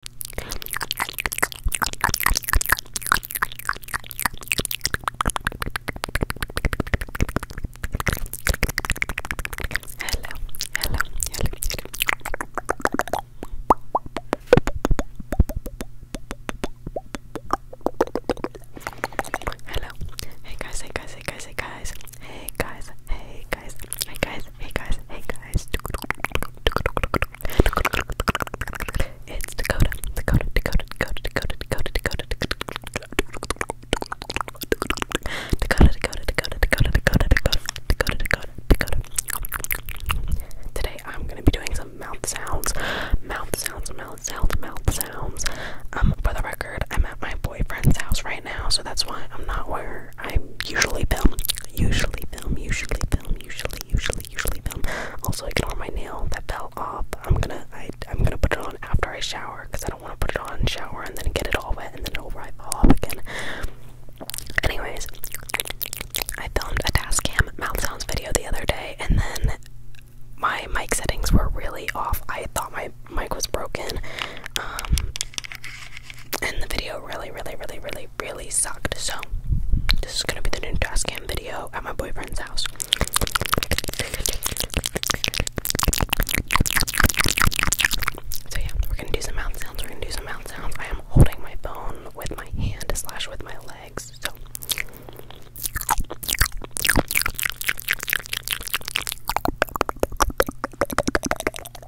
hello, hello, hello, hello. Hey guys, hey guys, hey guys, hey guys. Hey guys, hey guys, Hey guys, hey guys, hey guys. It's Dakota, Dakota, Dakota, Dakota, Dakota, Dakota, Dakota, Dakota, Dakota, Dakota, Dakota, Dakota, Dakota, Dakota, Today I'm gonna be doing some mouth sounds, mouth sounds, mouth sounds, mouth sounds. Um, for the record, I'm at my boyfriend's house right now, so that's why I'm not where I usually film. Usually film, usually film, usually, usually, usually film. Also, ignore my nail that fell off. I'm gonna, I, I'm gonna put it on after I shower because I don't want to put it on, shower, and then get it all wet, and then it'll rip off again. Anyways, I filmed a task mouth sounds video the other day, and then my mic settings were really off. I thought my mic was broken, um, and the video really, really, really, really really, sucked. So, this is gonna be the new trash can video at my boyfriend's house. So, yeah, we're gonna do some mouth sounds. We're gonna do some mouth sounds. I am holding my phone with my hand slash with my legs.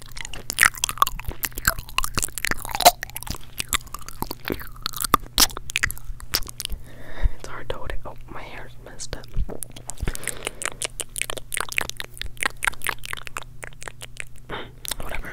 It's hard to hold it. Oh, my hair's messed up. Whatever.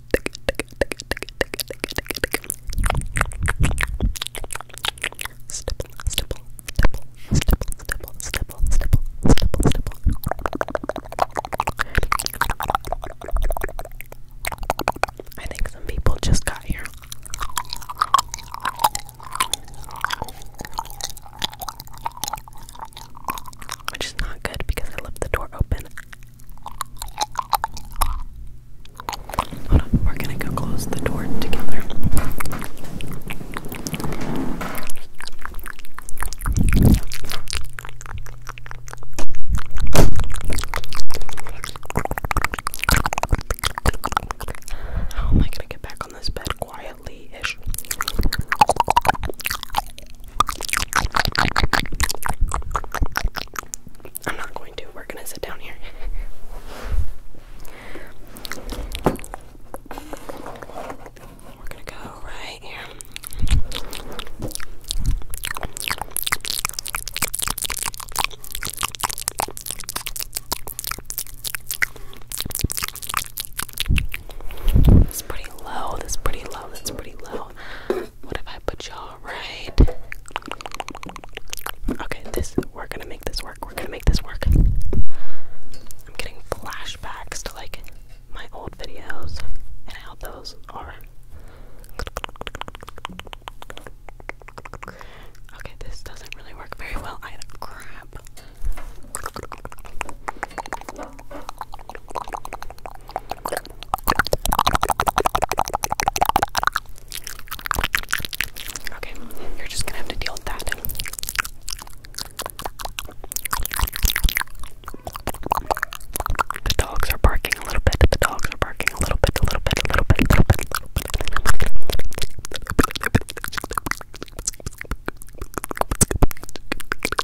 stipple, stipple, stipple, stipple, stipple, stipple, stipple, stipple, I think some people just got here. Which is not good because I left the door open we're gonna go close the door together. How am I gonna get back on this bed quietly ish? I'm not going to. We're going to sit down here. We're going to go right here. That's pretty low. That's pretty low. That's pretty low. What if I put y'all right? Okay, this we're gonna make this work. We're gonna make this work. I'm getting flashbacks to like my old videos and how those are. Okay, this doesn't really work very well either. Crap. Okay, you're just gonna have to deal with that. The dogs are barking a little bit. The dogs are barking a little bit, a little bit, a little bit, a little bit, a little bit.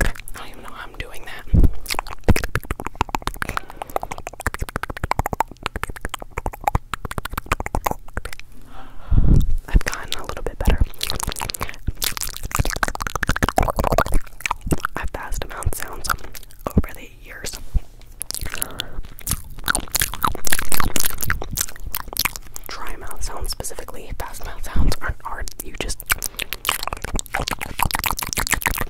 I don't even know how I'm doing that. I've gotten a little bit better. I've passed amount sounds over the years. Dry mouth sounds specifically, fast mouth sounds aren't hard. You just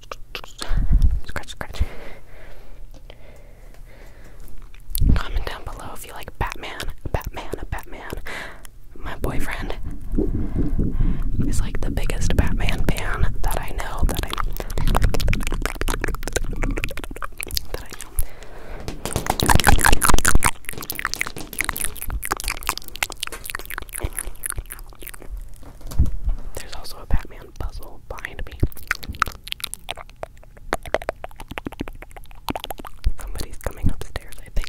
scratch, scratch. Comment down below if you like Batman, Batman, Batman. My boyfriend is like the biggest Batman fan that I know, that I there's also a Batman puzzle behind me. Somebody's coming upstairs, I think.